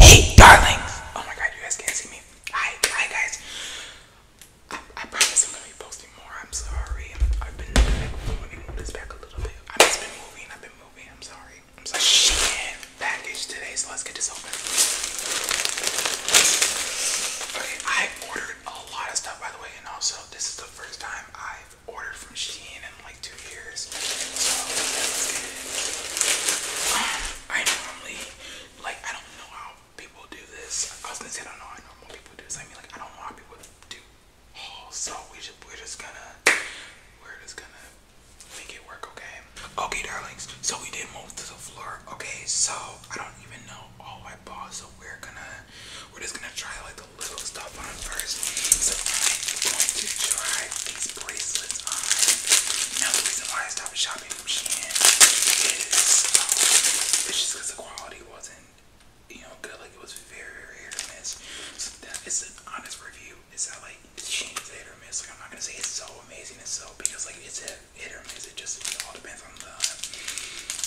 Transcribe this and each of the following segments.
Hey, darlings! Oh my god, you guys can't see me. Hi, hi guys. I, promise I'm gonna be posting more. I'm sorry. I've been like, moving this back a little bit. I've just been moving. I've been moving. I'm sorry. I'm so Shit. Package today, so let's get this open. Okay, I ordered a lot of stuff by the way, and also this is the first time I've ordered from Shein like two years. So I normally like I don't know how people do this. I was gonna say I don't know how normal people do this. I mean like I don't know how people do So we just we're just gonna we're just gonna make it work, okay? Okay darlings, so we did move to the floor. Okay, so I don't even know all my balls, so we're gonna we're just gonna try like the little stuff first. So I'm going to try these bracelets on. Now reason why I stopped shopping from Shein is um, just because the quality wasn't, you know, good. Like it was very, very hit or miss. So that an honest review. It's not like Shein is hit or miss. Like I'm not gonna say it's so amazing and so because like it's a hit or miss. It just all depends on the,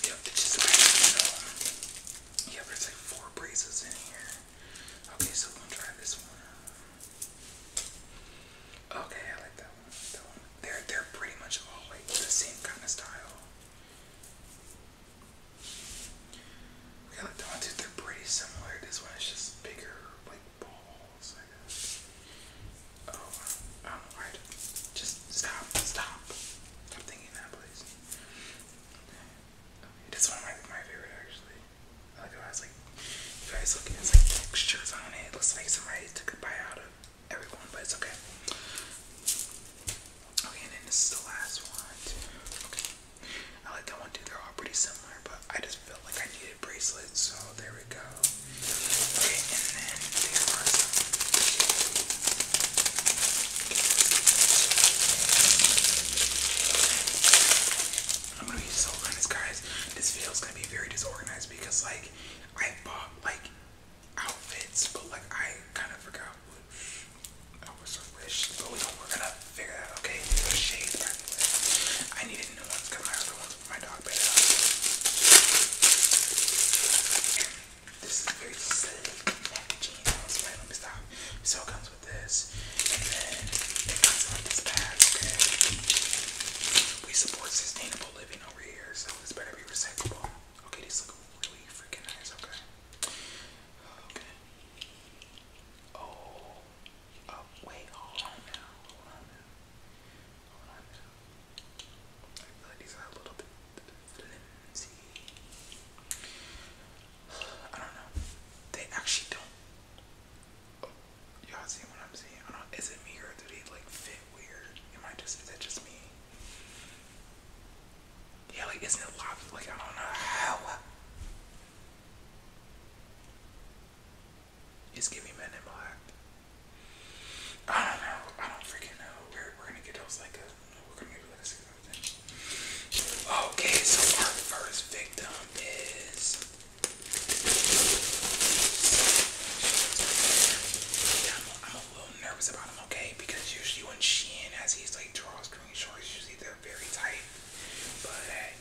you know, just depends there's like four braces in here. Okay, so we will try this one. Okay, I like that one. That one. They're they're pretty much all like the same kind of style. Okay, I like that too. They're pretty similar. This one is just bigger, like balls, I guess. Oh, I don't Just stop, stop. Stop thinking that, please. It is one my, my favorite actually. I like how it has like you guys look at it's like textures on it. Looks like somebody took a bite out of everyone, but it's okay. Okay, and then this is the last one Okay. I like that one too, they're all pretty similar, but I just felt like I needed a bracelet, so there we go. Okay, and then there are some I'm gonna be so honest, guys. This video is gonna be very disorganized because, like, I bought like outfits, but like I kind of forgot what I was wish. But we are gonna figure that out. Okay, the shades back. I needed new ones because my other ones my dog bed. This is very slick packaging. I was So it comes with this. And then it comes on this bag, We support sustainable living over here, so this better be recyclable. Okay, these look really freaking nice, okay? Okay. Oh, oh on now. Hold on now. Hold on now. I feel like these are a little bit I don't know. They actually don't. Y'all see what I'm seeing? Is it me or do they like fit weird? Am I just? Is that just me? Yeah, like isn't it lobster? Like I don't know It's giving me in black. I don't know. I don't freaking know. We're we're gonna get those like uh, Okay, so our first victim is I'm, a little nervous about him, okay? Because usually when Shein has these like draws drawstring shorts, usually they're very tight. But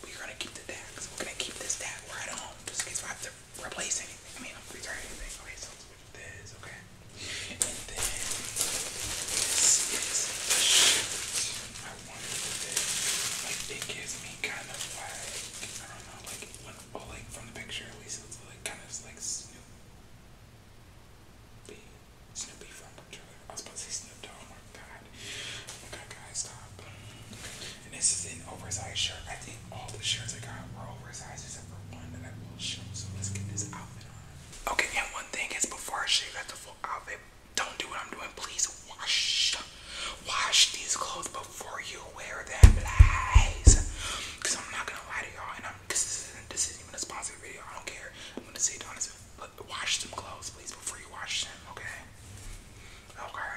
we're gonna keep the tag. we're gonna keep this tag right on just in case I have to replace anything. I mean, I'm returning anything this, okay? And then this is the shirt. I wanted this. Like it gives me kind of like I don't know, like when well like from the picture at least it's like kind of like Snoopy. Snoopy from the I was about to oh my god. Okay guys, stop. And this is an oversized shirt. I think all the shirts I got were oversized except for one that I will show. So let's get this outfit on. Okay, and one thing is before I show you at the full outfit, don't do what I'm doing. Please wash, wash these clothes before you wear them, guys. Cause I'm not gonna lie to y'all, and I'm. Cause this isn't. This isn't even a sponsored video. I don't care. I'm gonna say it honestly. But Wash some clothes, please, before you wash them. Okay. Okay.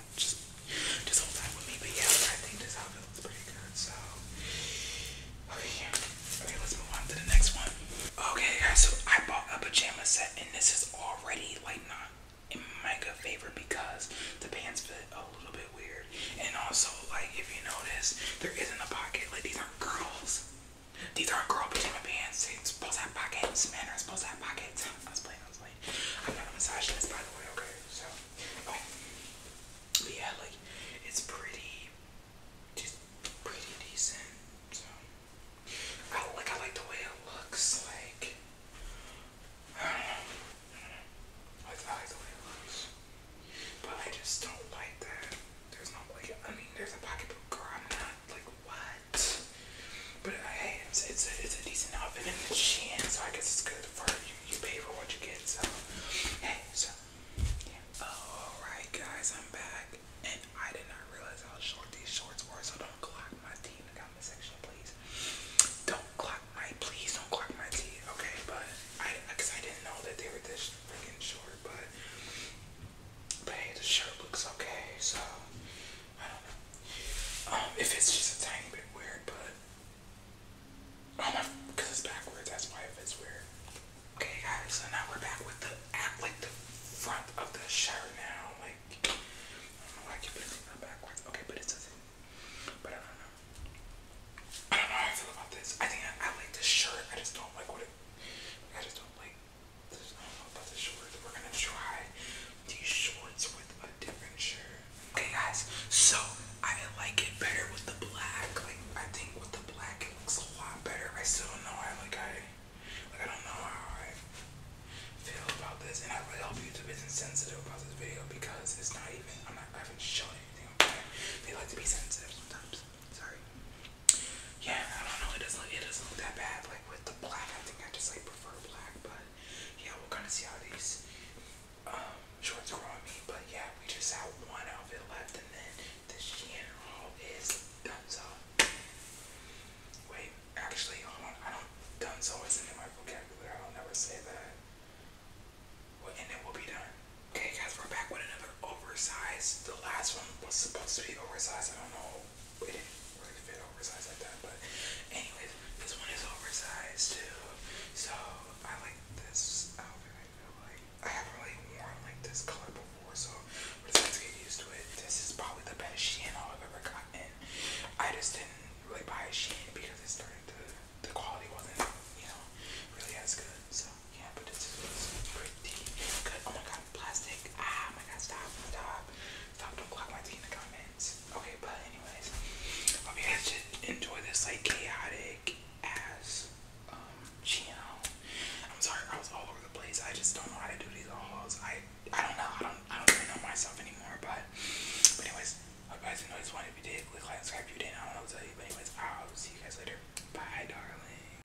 on. Just, just hold that with me. But yeah, I think this outfit looks pretty good. So, okay, okay, let's move on to the next one. Okay, guys, so I bought a pajama set, and this is already like not in my good favor because the pants fit a little bit weird, and also like if you notice, there isn't a pocket. Like these aren't girls. These aren't girl pajama pants. It's supposed to have pockets. Men are supposed to have pockets. I was playing. I was I'm not a misogynist, by the way, okay? So, okay. yeah, like, it's pretty, just pretty decent. So, I like, I like the way it looks. Like, I don't know. I, don't know. I, like the way it looks. But I just don't like that. There's no like, I mean, there's a pocketbook, girl. I'm not like, what? But hey, it's, a, it's a decent oven in the chin, so I guess it's good for you. You pay for what you get, so hey, so Alright, guys, I'm back, and I did not realize how short these shorts were, so don't clock my teeth in the comment section, please. Don't clock my please don't clock my tea, okay? But I, cause I didn't know that they were this freaking short, but but hey, the shirt looks okay, so I don't know. Um, if it's just a tiny bit weird, but. Um, because it's backwards, that's why it weird. Okay, guys, so now we're back with the at like the front of the shirt now. Like, I do I keep putting it backwards. Okay, but it's a thing. But I don't know. I don't know how I feel about this. I think I, like the shirt. I just don't like what it. I just don't like these shorts with a different shirt. Okay guys, so I like it better with the black. Like I think with the black it looks a lot better. I still don't know how like I like I don't know how I feel about this and I really hope YouTube isn't sensitive about this video because it's not even I'm not I haven't shown anything okay. They like to be sensitive sometimes. Sorry yeah, I don't know. It doesn't look, it doesn't look that bad. Like with the black, I think I just like prefer black. But yeah, we'll kind of see how these um, shorts grow on me. But yeah, we just have one outfit left, and then the Shein haul is done. So wait, actually, hold on. I don't done so is in my vocabulary. I'll never say that. Well, and then we'll be done. Okay, guys, we're back with another oversized. The last one was supposed to be oversized. I don't know it didn't really fit oversized like that, but anyways, this one is oversized too. So I like this outfit. like I haven't really worn like this color before, so we're just gonna get used to it. This is probably the best Chanel I've ever gotten. I just didn't really buy a Shein because it started to the quality wasn't, you know, really as good. So yeah, but this is pretty good. Oh plastic. Ah, my God, stop, stop. don't block my tea in the comments. Okay, but anyways, hope you guys enjoy this, like, chaotic ass, um, channel. I'm sorry, I was all over the place. I just don't know how to do these hauls. I, I don't know. I don't, I don't really know myself anymore, but, but anyways, hope you guys enjoyed this one. If you did, click like, subscribe. If you didn't, I don't know what to tell you. But anyways, I'll see you guys later. Bye, darling.